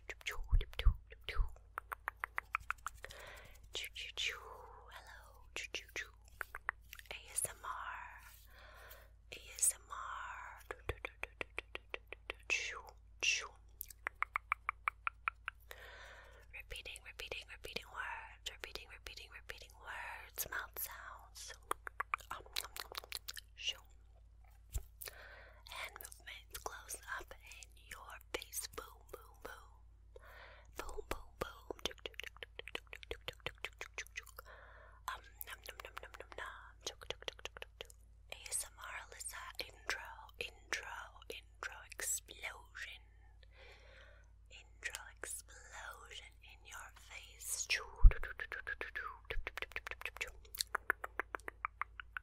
Hello. ASMR. ASMR. Repeating, repeating, repeating words. Repeating, repeating, repeating words. Mouth sounds. Oh, shoo. Hand close up in your face. Boom, boom, boom. Boom, boom, boom. Um, num, num, num, num, num, ASMR Alyssa intro, intro, intro explosion. Intro explosion in your face.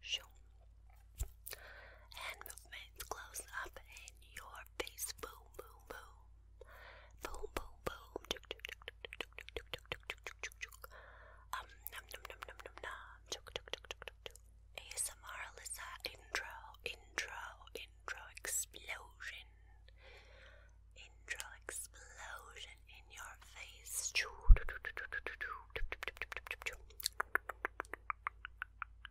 Shoo. Hand movements close up in your face. Boom, boom, boom. Boom, boom, boom. Um, num, num, num, num, num, num. ASMR Alyssa intro, intro, intro explosion. Intro explosion in your face. Choo, choo, choo, choo, choo, choo, choo, choo, choo, choo, choo.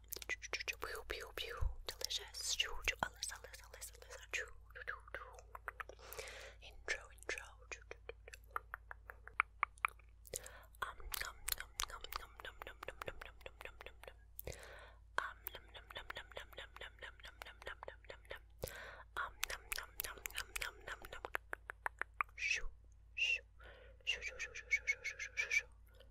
mocha. Delicious. Alyssa, Alyssa, Alyssa, Alyssa. Intro, intro. Um, num, num, num, num, num, num, num, num, num, num, num, num, num. Um, num, num, num, num, num, num, num, num, num, num, num, num, num, num. Um, num, num, num, num, num, num, num. Shoo, shoo, shoo, shoo, shoo, shoo, shoo, shoo, shoo, shoo, shoo.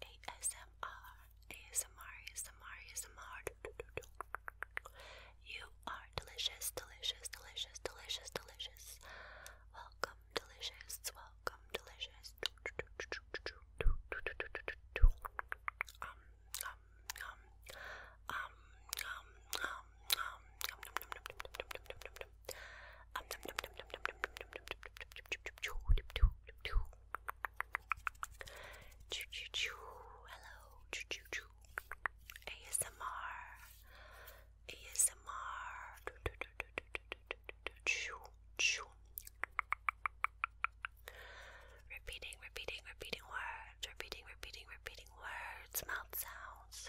ASMR, ASMR, ASMR, ASMR. You are delicious, delicious, delicious, delicious, delicious. Welcome, delicious, welcome, delicious. Um, um, um, um, um, um, um, um, um, um, um, um, Choo choo choo. Hello. Choo choo choo. ASMR. ASMR. Choo choo. Repeating, repeating, repeating words. Repeating, repeating, repeating words. Mouth sounds.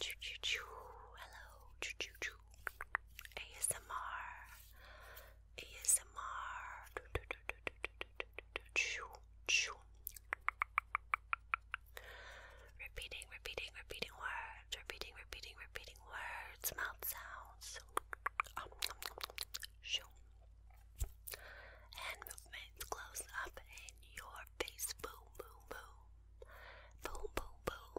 Choo choo choo. Hello. Choo choo choo. ASMR. ASMR. Choo choo. Repeating, repeating, repeating words. Repeating, repeating, repeating words. Mouth sounds. Shoo. Hand movements close up in your face. Boom, boom, boom. Boom, boom, boom.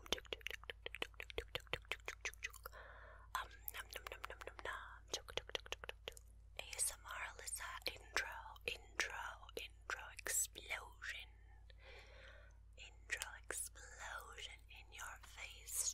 Um, num, num, num, num, num, num. ASMR Alyssa intro, intro, intro explosion. Intro explosion in your face.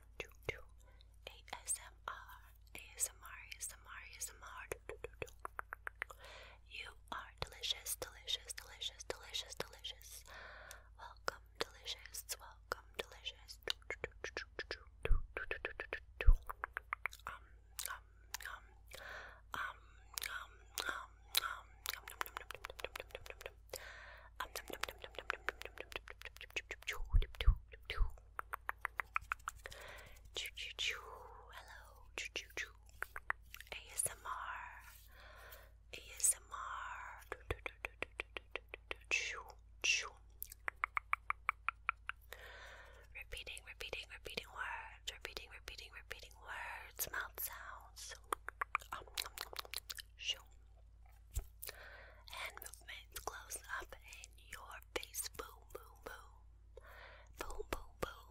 ASMR, ASMR, ASMR, ASMR. You are delicious, delicious, delicious, delicious, delicious. Welcome, delicious, welcome, delicious. Um, um, um, um, um, um, um, um, um, um, um, um, um, um, um, Choo choo choo. Hello. Choo choo choo. ASMR. ASMR. Choo choo. Repeating, repeating, repeating words. Repeating, repeating, repeating words. Mouth sounds. Um, Hand movements close up in your face. Boom, boom, boom. Boom, boom, boom.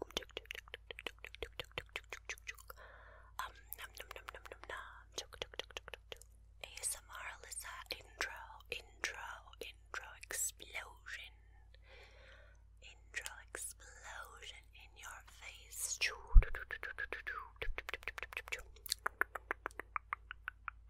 Um, num, num, num, num, num, num. ASMR Alyssa intro, intro, intro explosion. Intro explosion in your face.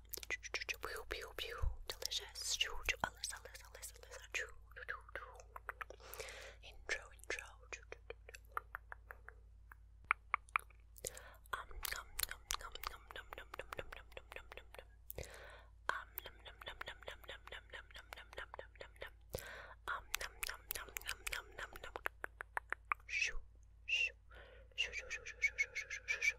Mocha. Delicious. Alyssa, Alyssa, Alyssa, Alyssa. Intro, intro. Um, num, num, num, num, num, num, num, num, num, num, num, num, num. Um, num, num, num, num, num, num, num, num, num, num, num, num, num, num. Um, num, num, num, num, num, num, num. Shoo, shoo, shoo, shoo, shoo, shoo, shoo, shoo, shoo, shoo, shoo.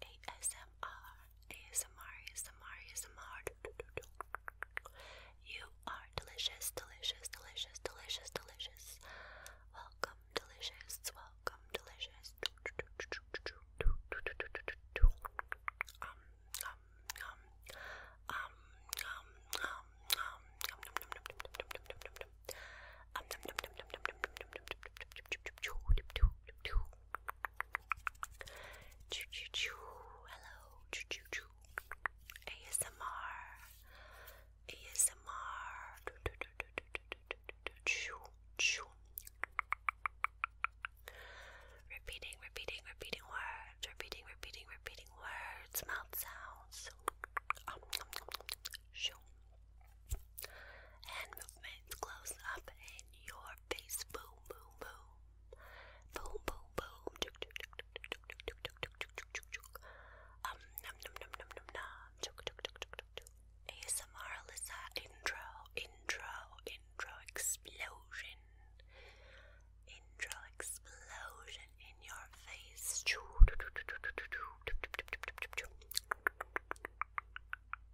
ASMR, ASMR, ASMR, ASMR. You are delicious, delicious, delicious, delicious, delicious. Welcome, delicious, welcome, delicious. Um, um, um, um, um, um, um, um, um, um, um, um, Choo choo choo. Hello. Choo choo choo. ASMR. ASMR. Choo choo. Repeating, repeating, repeating words. Repeating, repeating, repeating words. Mouth sounds. choo. Hand movements close up in your face. Boom, boom, boom. Boom, boom, boom. Chuk, chuk, chuk, chuk, chuk, chuk, chuk, chuk, chuk, chuk, chuk, chuk. Um, num, num, num, num, num, num. Chuk, chuk, chuk, chuk, chuk, chuk. ASMR Alyssa intro, intro, intro explosion. Intro explosion in your face. Choo, choo, choo, choo, choo, choo, choo, choo, choo, choo, choo, choo.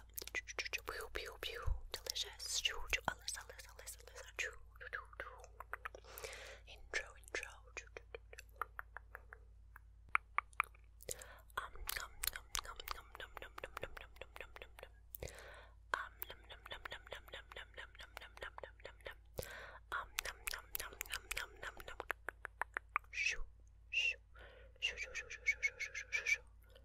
Mocha. Pew, pew, pew. Delicious. Alyssa, Alyssa, Alyssa, Alyssa. Intro, intro. Um, num, num, num, num, num, num, num, num, num, num, num, num, num. Um, num, num, num, num, num, num, num, num, num, num, num, num, num, num. Um, num, num, num, num, num, num, num. Shoo, shoo, shoo, shoo, shoo, shoo, shoo, shoo, shoo, shoo, shoo.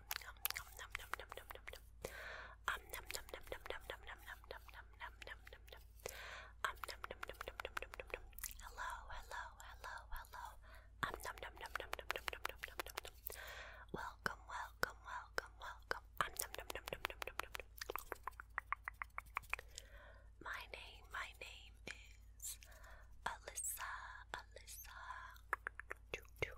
nom nom nom nom nom nom nom nom um nom nom nom nom nom nom nom nom nom nom nom nom nom nom um nom nom nom nom nom nom nom nom hello hello hello hello um nom nom nom nom nom nom nom nom nom nom welcome welcome welcome welcome um nom nom nom nom nom nom nom my name my name is Alyssa Alyssa ASMR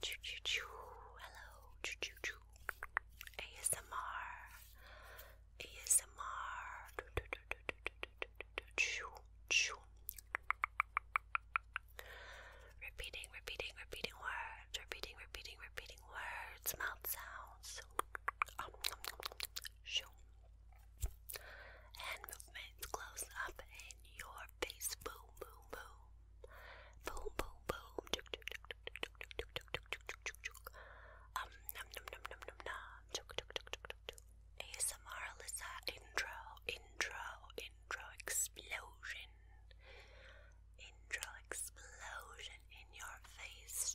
Choo choo choo. Hello. Choo choo choo. ASMR. ASMR. Choo choo. Repeating, repeating, repeating words. Repeating, repeating, repeating words. Mouth sounds. Shoo. Hand movements close up in your face. Boom, boom, boom. Boom, boom, boom. Um, num, num, num, num, num, num. ASMR Alyssa intro, intro, intro explosion. Intro explosion in your face.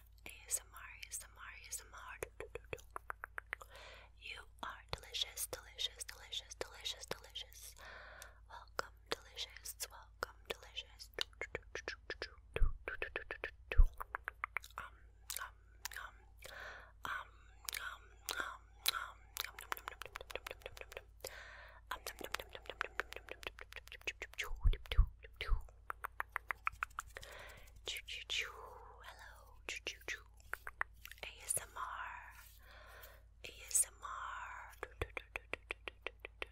ASMR, ASMR, ASMR. You are delicious, delicious, delicious, delicious, delicious. Welcome, delicious, welcome, delicious. Um, um, um, um, um, um, um, um, um, um, um, um, um, um, Choo choo choo. Hello. Choo choo choo. ASMR. ASMR.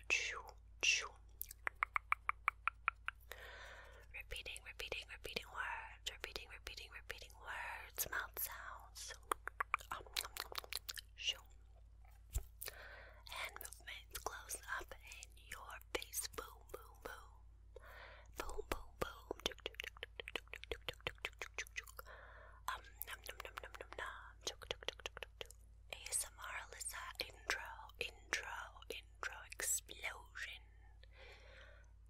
Choo choo. Repeating, repeating, repeating words. Repeating, repeating, repeating words. Mouth sounds. Um, movements close up in your face. Boom, boom, boom. Boom, boom, boom. Um, num, num, num, num, num, num. ASMR Alyssa intro, intro, intro explosion.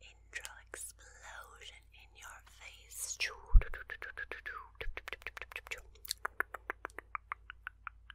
Intro explosion in your face.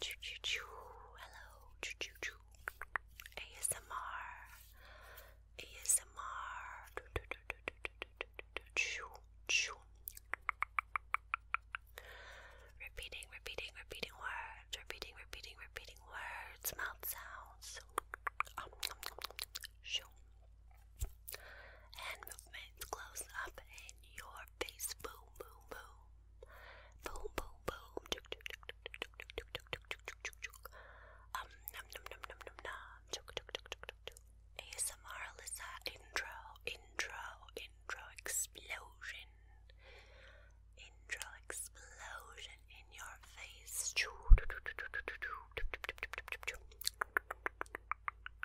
Choo choo choo. Hello. Choo choo choo. ASMR. ASMR. Choo choo. Repeating, repeating, repeating words. Repeating, repeating, repeating words. Mouth sounds. Shoo. Hand movements close up in your face. Boo boom, boom, boom. Boom, boom, boom. Chuk, chuk, chuk, chuk, chuk, chuk, chuk, chuk, chuk, chuk, chuk. Um, num, num, num, num, num, num. Chuk, chuk, chuk, chuk, chuk, chuk. ASMR Lisa intro, intro, intro explosion. Intro explosion in your face. Choo, choo, choo, choo, choo, choo, choo, choo, choo, choo, choo, choo.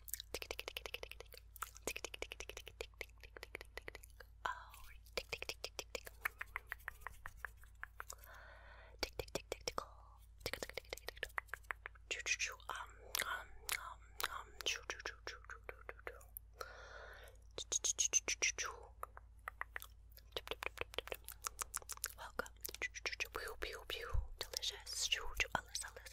Welcome. Delicious. Alice, Alice,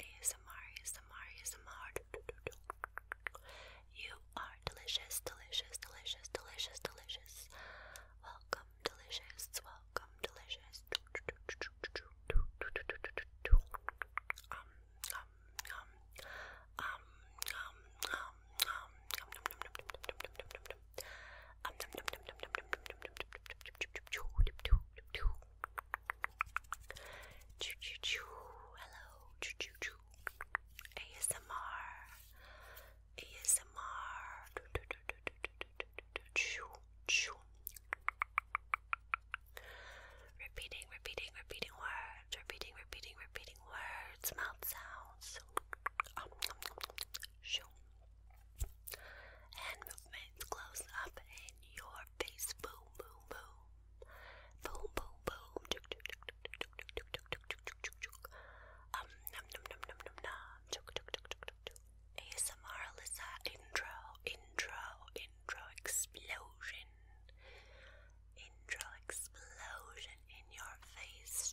ASMR, ASMR, ASMR. You are delicious, delicious, delicious, delicious, delicious. Welcome, delicious, welcome, delicious. Um, um, um, um, um, um, um, um, um, um, um, um, Choo choo choo. Hello. Choo choo choo. ASMR. ASMR. Choo choo. Repeating, repeating, repeating words. Repeating, repeating, repeating words. Mouth sounds. Um, Hand movements close up in your your face. Boom, boom, boom. Boom, boom, boom. Um, num, num, num, num, num, num. ASMR Alyssa intro, intro, intro explosion. Intro explosion in your face.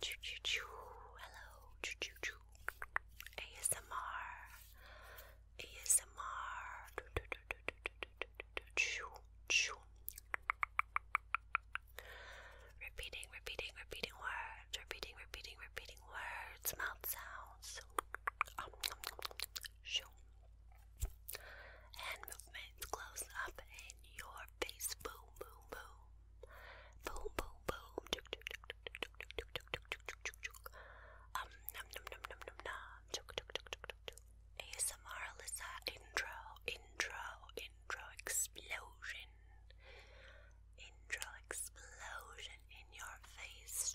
Choo choo choo. Hello. Choo choo choo. ASMR. ASMR. Choo choo. Repeating, repeating, repeating words. Repeating, repeating, repeating words. Mouth sounds. Um, shoo. movements close up in your face. Boom, boom, boom. Boom, boom, boom. Um, num, num, num, num, num, num. ASMR Alyssa intro, intro, intro explosion. Intro explosion in your face.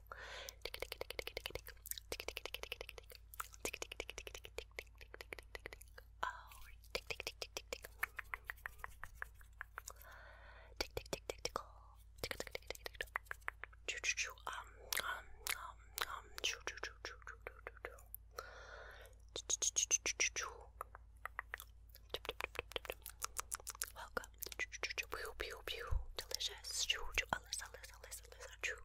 Welcome. Delicious. Alice, Alice, Alice, Alice.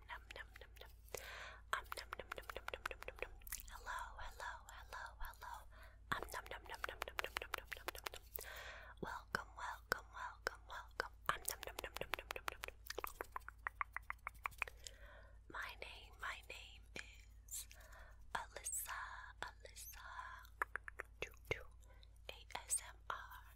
num num num num num. Um num num num num num num num num. Hello, hello, hello, hello. Um num num num num num num num num num num. Welcome, welcome, welcome, welcome. Um num num num num num num num num. My name, my name is Alyssa, Alyssa. ASMR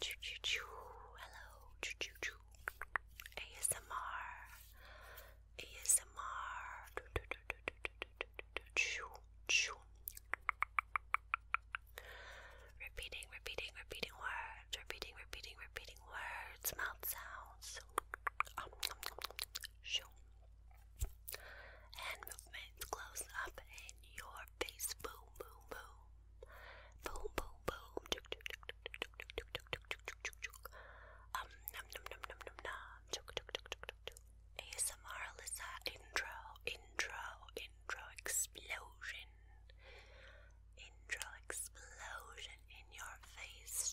Choo choo choo. Hello. Choo choo choo. ASMR. ASMR. Choo choo. Repeating, repeating, repeating words. Repeating, repeating, repeating words. Mouth sounds. Um, Hand movements close up in your face. Boom, boom, boom. Boom, boom, boom. Um, num, num, num, num, num, num. ASMR Lisa intro, intro, intro explosion. Intro explosion in your face.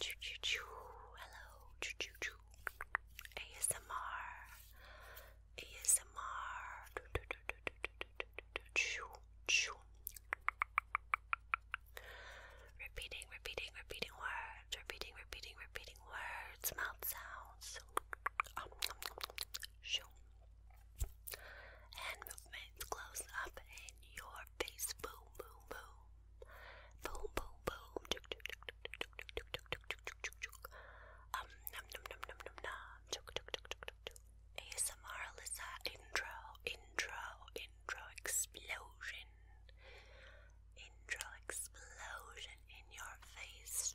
Choo choo choo. Hello. Choo choo choo. ASMR. ASMR. Choo choo. Repeating, repeating, repeating words. Repeating, repeating, repeating words. Mouth sounds. Um, Hand movements close up in your face. Boom, boom, boom. Boom, boom, boom. Um, num, num, num, num, num, num. ASMR Alyssa intro, intro, intro explosion. Intro explosion in your face.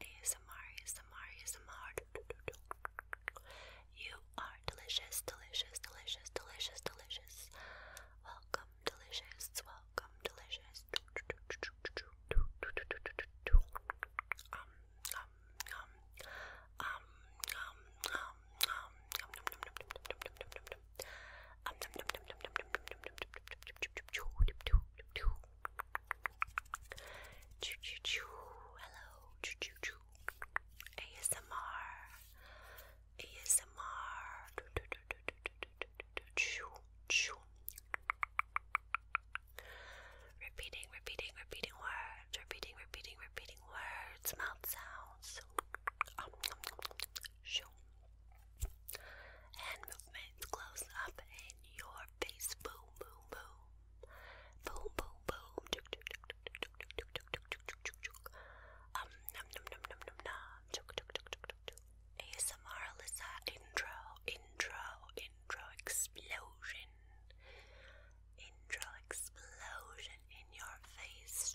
ASMR, ASMR, ASMR. You are delicious, delicious, delicious, delicious, delicious. Welcome, delicious, welcome, delicious. Um, um, um, um, um, um, um, um, um, um, um, um, um, um, Choo choo choo. Hello. Choo choo choo. ASMR. ASMR. Choo choo. Repeating, repeating, repeating words. Repeating, repeating, repeating words. Mouth sounds. Um, shoo. Hand movements close up in your face. Boom, boom, boom. Boom, boom, boom. Um, num, num, num, num, num, num. ASMR Alyssa intro, intro, intro explosion. Intro explosion in your face.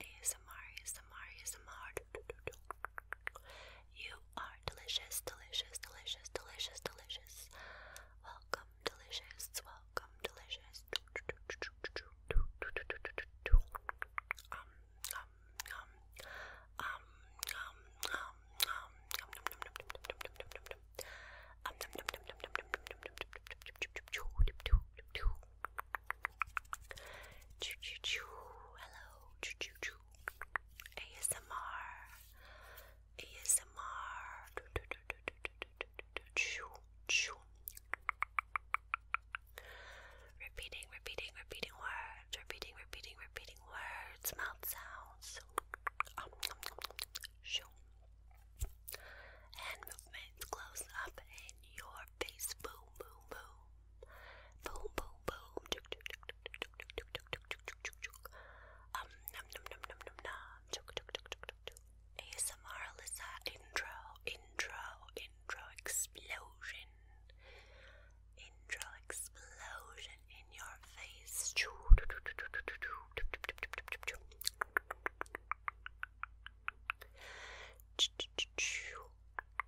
ASMR, ASMR, ASMR. You are delicious, delicious, delicious, delicious, delicious. Welcome, delicious, welcome, delicious. Um, um, um, um, um, um, um, um, um, um, um, um, Choo choo choo. Hello. Choo choo choo. ASMR. ASMR. Choo choo. Repeating, repeating, repeating words. Repeating, repeating, repeating words. Mouth sounds. Um, shoo. Hand movements close up in your face. Boom, boom, boom. Boom, boom, boom. Um, num, num, num, num, num, num. ASMR Lisa intro, intro, intro explosion. Intro explosion in your face.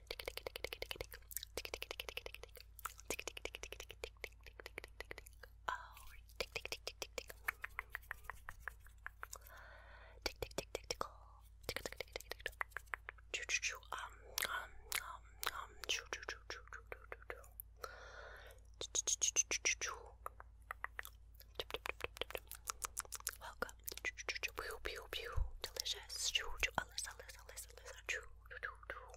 Welcome. Pew pew pew. Delicious. Choo choo. Alyssa, Alyssa, Alyssa, Alyssa. Choo choo choo.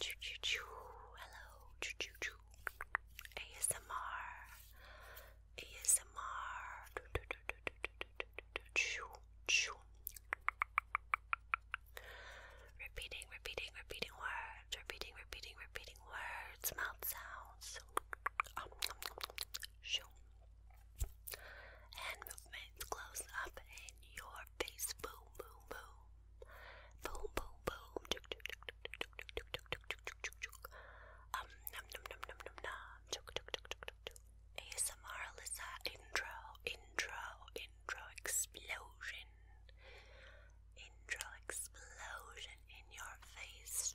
Choo choo choo. Hello. Choo choo choo. ASMR. ASMR. Choo choo. Repeating, repeating, repeating words. Repeating, repeating, repeating words. Mouth sounds. choo, shoo. Hand movements close up in your face. Boom, boom, boom. Boom, boom, boom. Um, num, num, num, num, num, num. ASMR Alyssa intro, intro, intro explosion. Intro explosion in your face.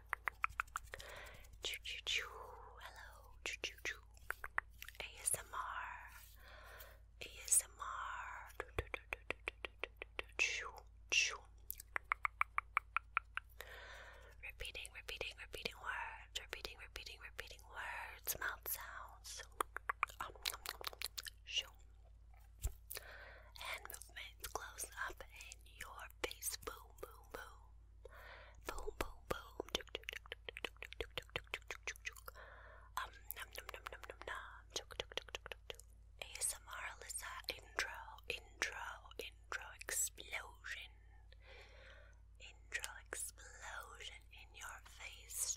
Choo choo choo. Hello. Choo choo choo. ASMR. ASMR. Choo choo. Repeating, repeating, repeating words. Repeating, repeating, repeating words. Mouth sounds. Um, shoo. Hand movements close up in your face. Boom, boom, boom. Boom, boom, boom. Um, num, num, num, num, num, num. ASMR Alyssa intro, intro, intro explosion. Intro explosion in your face.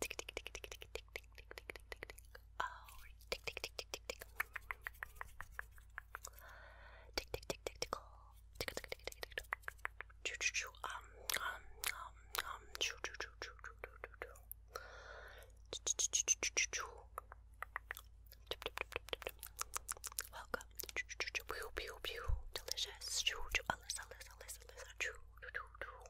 Tick tick tick tick tick tick tick tick tick tick tick tick. Oh, tick tick tick tick tick tick. Tick tick tick tick tick. Tick tick tick tick tick. Choo choo choo. Um um um um. Choo choo choo choo choo choo choo. Choo choo choo choo choo choo. Welcome. Choo choo choo choo. Pew pew pew. Delicious. Choo choo. Alyssa, Alyssa, Alyssa, Alyssa. Choo choo choo choo.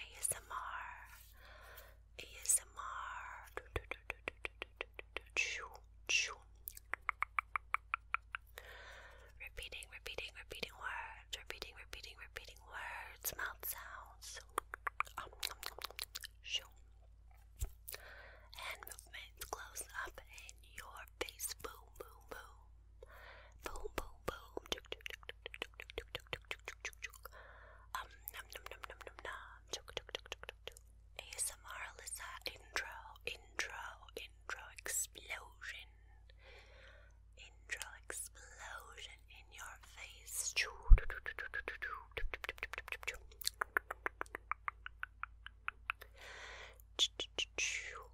ASMR, ASMR. Repeating, repeating, repeating words, repeating, repeating, repeating words, mouth sounds, hand movements close up in your face, boom, boom, boom. Boom, boom, boom. Um, num, num, num, num, num, num. ASMR Lisa intro, intro, intro explosion. Intro explosion in your face.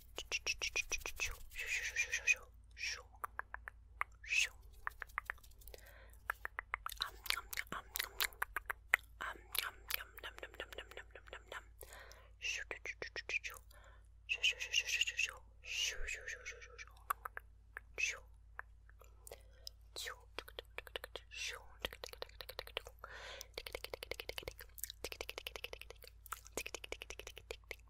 Um, um, um, um, um, um, um, num, num, num, num, num, num, num, num. Shoo, shoo, shoo, shoo, shoo, shoo, shoo, shoo, shoo, shoo, shoo, shoo, shoo, shoo, shoo, shoo, shoo, shoo, shoo, shoo,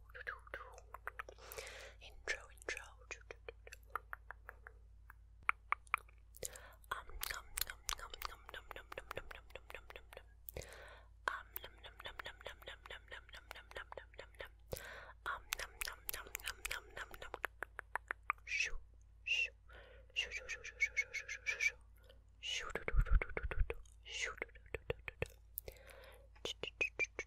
Intro, intro. Um, num, num, num, num, num, num, num, num, num, num, num, num, num. Um, num, num, num, num, num, num, num, num, num, num, num, num, num, num. Um, num, num, num, num, num, num, num. Shoo, shoo, shoo, shoo, shoo, shoo, shoo, shoo, shoo, shoo, shoo. Shoo, do, do, do, do, do, do, do. Shoo, do, do, do, do, do, do. Ch, ch, ch, ch, ch.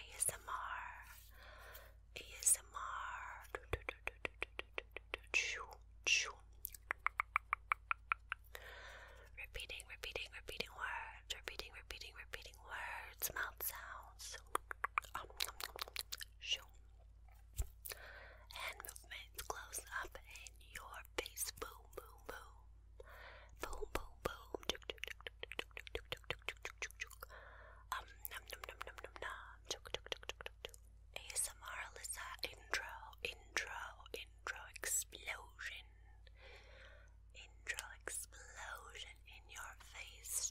ASMR ASMR Repeating, repeating, repeating words, repeating, repeating, repeating words, mouth sounds, hand movements close up in your face, boom, boom, boom. Boom, boom, boom. Um, num, num, num, num, num, num. ASMR Alyssa intro, intro, intro explosion. Intro explosion in your face.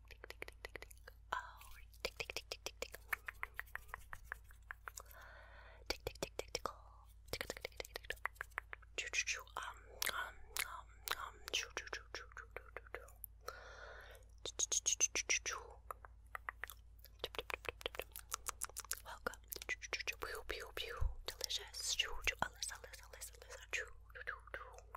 tick, tick, tick, tick, tick, tick. Oh, tick, tick, tick, tick, tick, tick. Tick, tick, tick, tick, tickle. Tick, tick, tick, tick, tick. Choo, choo, choo. Um, um, um, um. Choo, choo, choo, choo, choo, choo, choo, choo. Choo, choo, choo, choo, choo, choo. Tip, tip, tip, tip, tip. Welcome. Choo, choo, choo, choo. Pew, pew, pew. Delicious. Choo, choo. Alyssa, Alyssa, Alyssa, Alyssa. Choo, choo, choo, choo.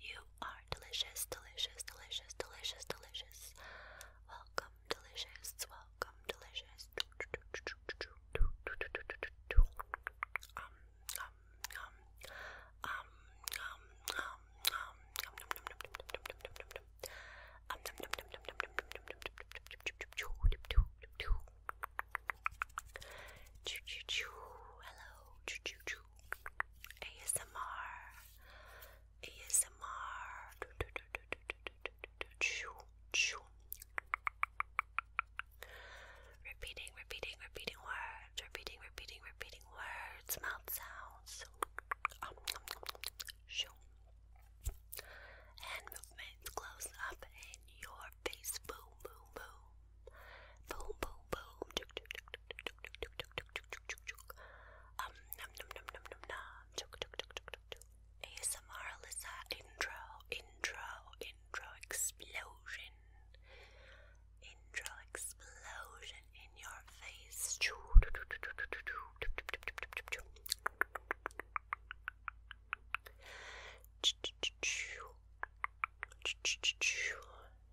You are delicious, delicious, delicious, delicious, delicious. Welcome, delicious, welcome, delicious. Um, um, um, um, um, um, um, um, um, um, Hello, ASMR. ASMR. Repeating, repeating, repeating words. Repeating, repeating, repeating words. Mouth sounds. Hand movements close up in your face. Boom, boom, boom. Boom, boom, boom. Um, num, num, num, num, num, num. ASMR Alyssa intro, intro, intro explosion. Intro explosion in your face.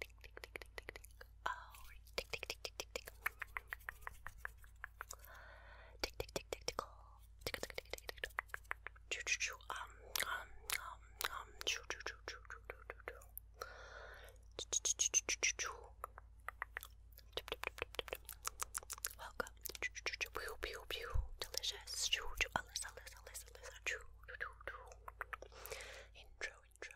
tick, tick, tick, tick, tick, tick, tick. Oh, tick, tick, tick, tick, tick, tick. Tick, tick, tick, tick, tickle. Tick, tick, tick, tick, tick. Choo, choo, choo. Um, um, um, um. Choo, choo, choo, choo, choo, choo, choo, choo. Choo, choo, choo, choo, choo, choo. Tip, tip, tip, tip, tip. Welcome. Choo, choo, choo, choo. Pew, pew, pew. Delicious. Choo, choo. Alyssa, Alyssa, Alyssa, Alyssa. Choo, choo, choo, choo. Intro, intro.